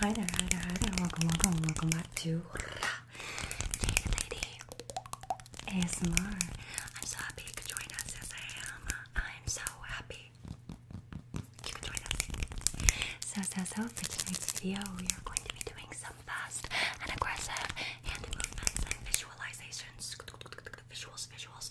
Hi there, hi there, hi there. Welcome, welcome, welcome back to Jade Lady ASMR. I'm so happy you could join us. Yes, I am. I'm so happy you could join us. So, so, so for tonight's video, we are going to be doing some fast and aggressive hand movements and visualizations. Visuals, visuals.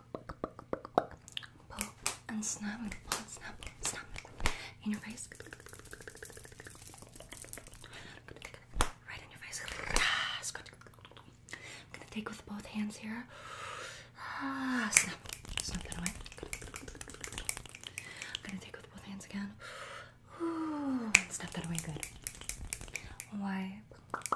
and snap and pull and snap, snap in your face, right in your face. Ah, I'm gonna take with both hands here. Ah, snap, snap that away. I'm gonna take with both hands again. Ooh, snap that away, good. Wipe,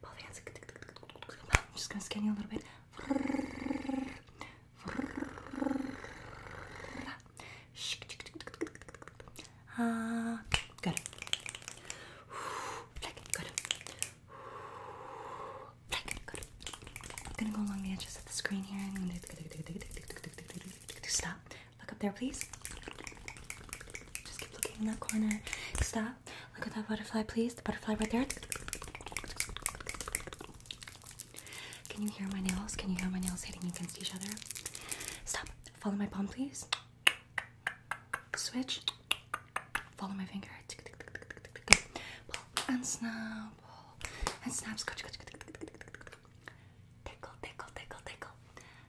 Both hands. I'm just gonna scan you a little bit. Uh, good. Black, good. good. I'm gonna go along the edges of the screen here and stop. Look up there, please. Just keep looking in that corner. Stop. Look at that butterfly, please. The butterfly right there. Can you hear my nails? Can you hear my nails hitting against each other? Stop. Follow my palm, please. Switch. Follow my finger. and snap. and snap. Scratch. Tickle, tickle, tickle, tickle.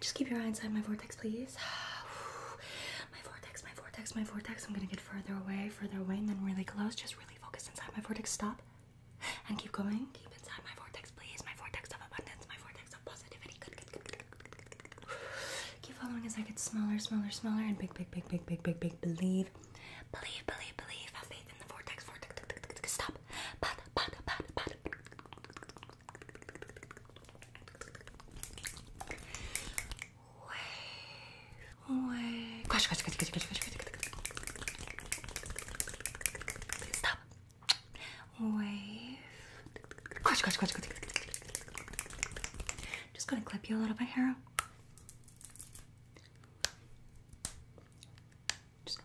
Just keep your eye inside my vortex, please. My vortex, my vortex, my vortex. I'm gonna get further away, further away, and then really close. Just really focus inside my vortex. Stop. And keep going. Keep inside my vortex, please. My vortex of abundance, my vortex of positivity. Keep following as I get smaller, smaller, smaller, and big, big, big, big, big, big, big. Believe, Believe, believe, believe. Have faith in the vortex. Vortex. Stop. Pat, pat, pat, pat. Wave. Wave. Crash, crash, crash, crash, crash, crash. Stop. Wave. Crash, crash, crash, crash. Just gonna clip you a little bit here. Just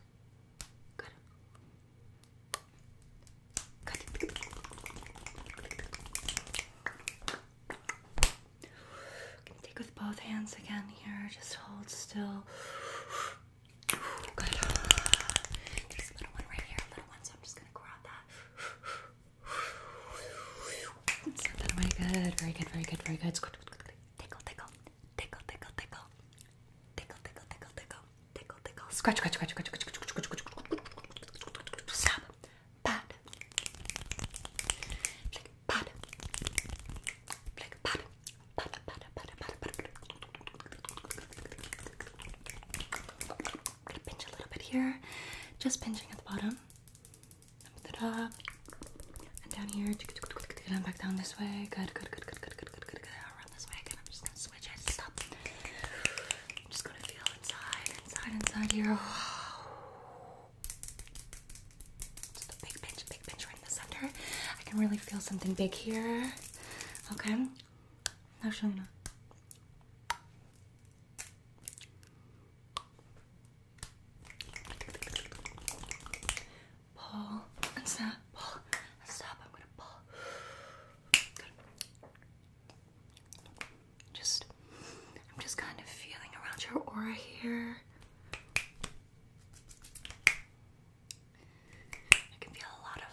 take with both hands again here. Just hold still. Good. There's a little one right here, a little one, so I'm just gonna grab that. Set Good. Very good. Very good. Very Good tickle, tickle, tickle, tickle, tickle, tickle, tickle, tickle, tickle, tickle, tickle, scratch, scratch, scratch, scratch, scratch, scratch, scratch, scratch, stop, pat, flick, pat, flick, pat, pat, pat, pat, pat, pat, pat, I'm gonna pinch a little bit here, just pinching at the bottom and down here, and back down this way. Good, good, good, good, good, good, good, good, good. Around this way again. I'm just gonna switch it. Stop. I'm just gonna feel inside, inside, inside here. Just a big pinch, big pinch right in the center. I can really feel something big here. Okay. Now show me pull and snap, pull and stop. I'm gonna pull. Just, I'm just kind of feeling around your aura here. I can feel a lot of.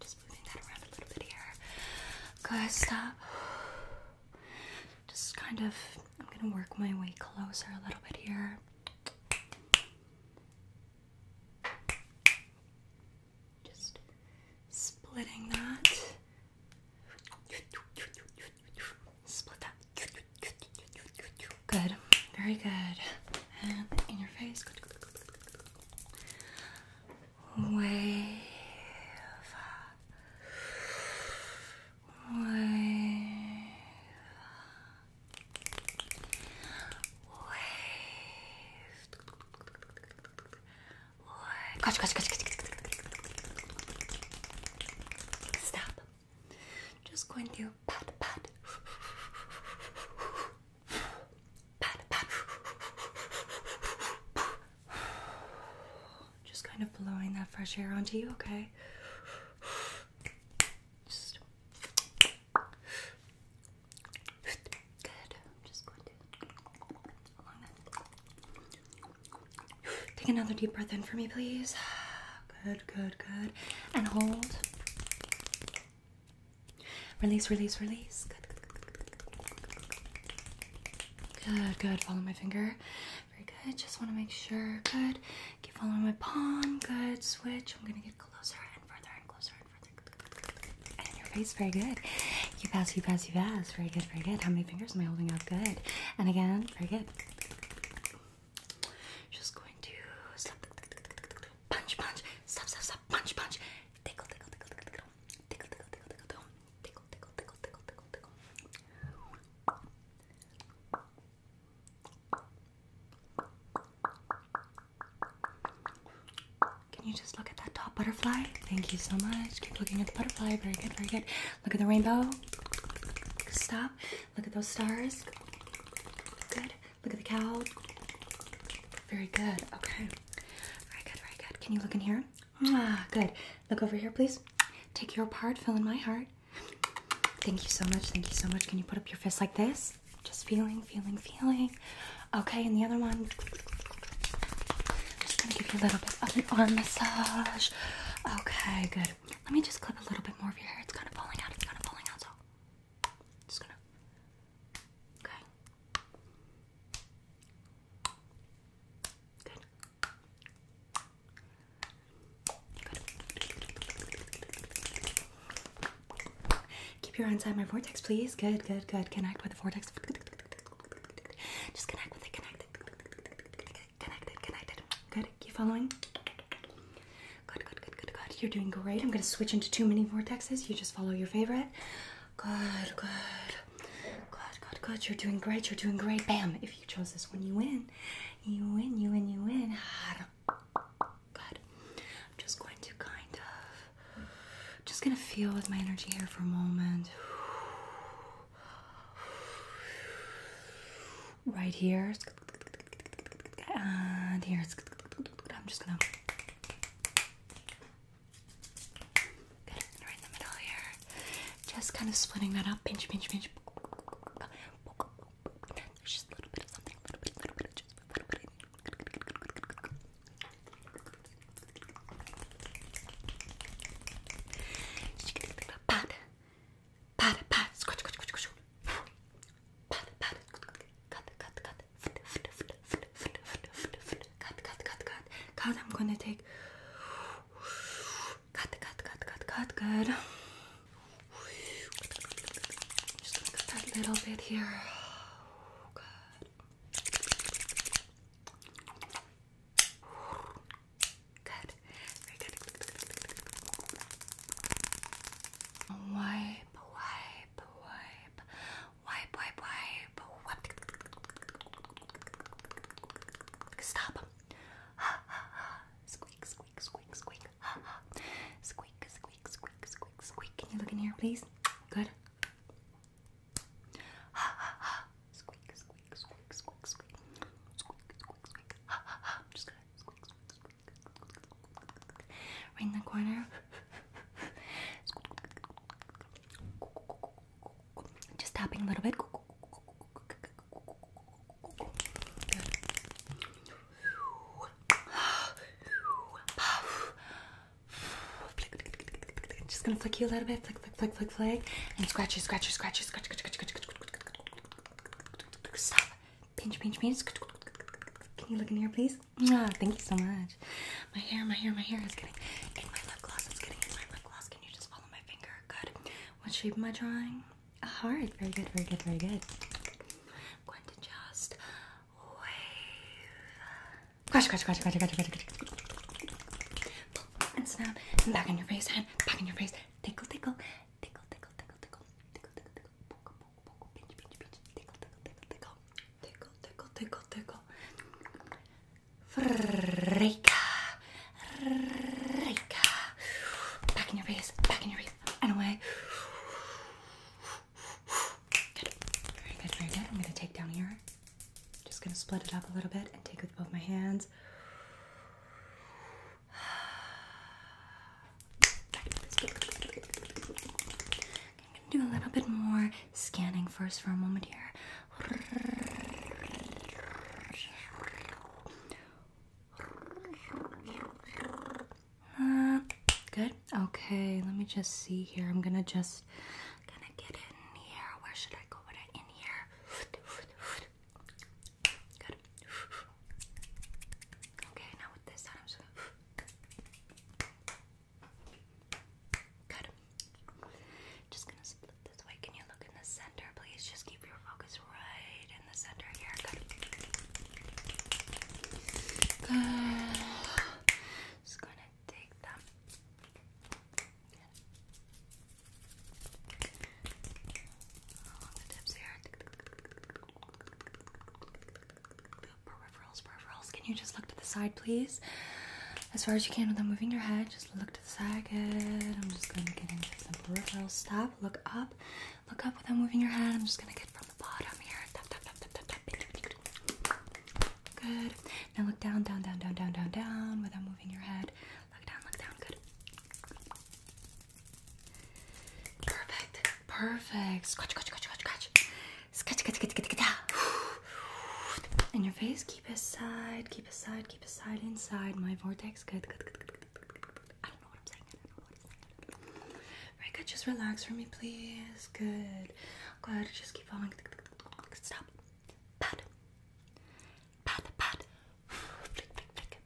Just moving that around a little bit here. Good, stop. Just kind of, I'm gonna work my way closer a little bit here. Just splitting that. Split that. Good. Very good. And in your face wave, wave, wave. Catch, catch, catch, catch, catch. Stop. Just going to pat, pat. Pat, pat. Just kind of blowing that fresh air onto you, okay? good. Take another deep breath in for me, please. Good, good, good. And hold. Release, release, release. good. Good, good. Follow my finger. Very good. Just want to make sure. Good. Keep following my palm. Good. Switch. I'm going to get closer and further and closer and further. And your face. Very good. Keep pass, Keep pass, you pass. Very good, very good. How many fingers am I holding out? Good. And again, very good. Just going to punch, punch, stop, stop, stop, punch, punch, tickle, tickle, tickle, can you just look at that top butterfly? Thank you so much. Keep looking at the butterfly. Very good, very good. Look at the rainbow. Stop. Look at those stars. Good. Look at the cow. Very good. Okay. Very good, very good. Can you look in here? Ah, good. Look over here, please. Take your part, fill in my heart. Thank you so much. Thank you so much. Can you put up your fist like this? Just feeling, feeling, feeling. Okay, and the other one. I'm just gonna give you a little bit of an arm massage. Okay, good. Let me just clip a little bit more of your hair. It's kind of falling out. It's kind of falling out. So, just gonna. Okay, Keep your eye on my vortex, please. Good, good, good. Connect with the vortex. Just connect with it, connect Connected, connected. Good. Keep following. Good, good, good, good, good. You're doing great. I'm gonna switch into too many vortexes. You just follow your favorite. Good, good. Good, good, good. You're doing great. You're doing great. Bam. If you chose this one, you win. You win, you win, you win. Good. I'm just going to kind of. Just gonna feel with my energy here for a moment. Right here. And here. I'm just gonna. Good. Right in the middle here. Just kind of splitting that up. Pinch, pinch, pinch. There's just a little bit of something. A little bit, a little bit, just a little bit. Pat, pat, pat. Scratch, scratch, scratch, scratch. Pat, pat. Cut, cut, cut. Fit, fit, fit, fit, fit, fit, fit, fit cut, cut, cut, cut, cut. I'm gonna take cut, cut, cut, cut, cut. Good. I'm just gonna cut that little bit here. Good. Good. Very good. Wipe, wipe, wipe, wipe, wipe, wipe, wipe. Stop. Squeak, squeak, squeak, squeak. Squeak, squeak, squeak, squeak, squeak. Can you look in here, please? Good. Ha ha ha. Squeak, squeak, squeak, squeak, squeak. Squeak, squeak, squeak. Ha ha just gonna squeak, the corner. Just tapping a little bit. Just gonna flick you a little bit, flick, flick, flick, flick, flick, and scratch you, scratch you, scratch you, scratch, scratch, scratch, scratch. Stop. Pinch, pinch, pinch. Can you look in here, please? Ah, thank you so much much. My hair, my hair, my hair is getting in my lip gloss. It's getting in my lip gloss. Can you just follow my finger? Good. What shape am I drawing? A heart. Very good, very good, very good. I'm going to just wave. Crash, crash, crash, crash, crash, crash, crash. And snap. And back in your face, hand. Back in your face. Tickle, tickle. Tickle, tickle, tickle, tickle. Tickle, tickle, tickle. Poke, poke, poke. Pinch, pinch, pinch. Tickle, tickle, tickle, tickle. Tickle, tickle, tickle, tickle. Reka. Reka. Back in your face. Back in your face. And away. Very good. Very good. I'm going to take down here. Just going to split it up a little bit and take it with both my hands. I'm going to do a little bit more scanning first for a moment here good. Okay, let me just see here. I'm gonna just gonna get in here. Where should I go with it? In here. Good. Okay, now with this side, Good. Just gonna split this way. Can you look in the center, please? Just keep your focus right in the center here. Good. Just gonna take them. the tips here. Peripherals, peripherals. Can you just look to the side, please? As far as you can without moving your head side, just look to the side. Good. I'm just going to get into some peripheral stuff. Look up. Look up without moving your head. I'm just going to get from the bottom here. Tap, tap, tap, tap, tap, tap. Good. Now look down, down, down, down, down, down, down without moving your head. Look down, look down. Good. Perfect. Perfect. Scratch, scratch, scratch, scratch, scratch. Scratch, scratch, scratch, scratch, scratch. in your face. Keep aside, keep aside, keep aside inside my vortex. Good, good, good, good, good, good, good, good. I don't know what I'm saying. I don't know what I'm saying. Very good. Just relax for me, please. Good. Go ahead. Just keep following. Stop. Pat. Pat. Pat. Flick, flick, flick.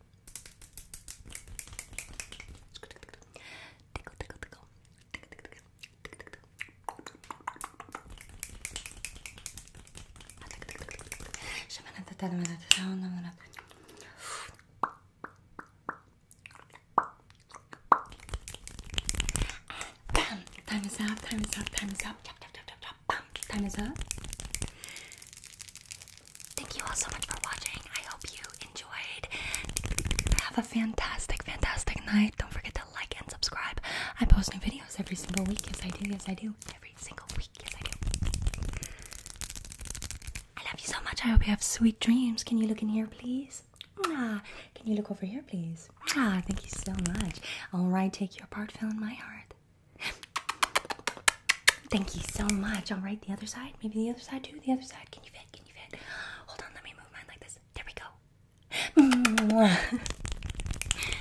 Tickle, tickle, tickle. Tickle, tickle, tickle. Time is up, time is up, Time is up. Thank you all so much for watching. I hope you enjoyed. Have a fantastic, fantastic night. Don't forget to like and subscribe. I post new videos every single week. Yes, I do. Yes, I do. Every single week. Yes, I do. I love you so much. I hope you have sweet dreams. Can you look in here, please? Ah, can you look over here, please? Ah, thank you so much. All right, take your part, fill in my heart. Thank you so much. All right, the other side. Maybe the other side too. The other side. Can you fit? Can you fit? Hold on. Let me move mine like this. There we go. Mm.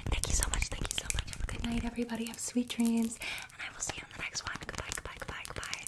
thank you so much. Thank you so much. Have a good night, everybody. Have sweet dreams. And I will see you in the next one. Goodbye, goodbye, goodbye, goodbye.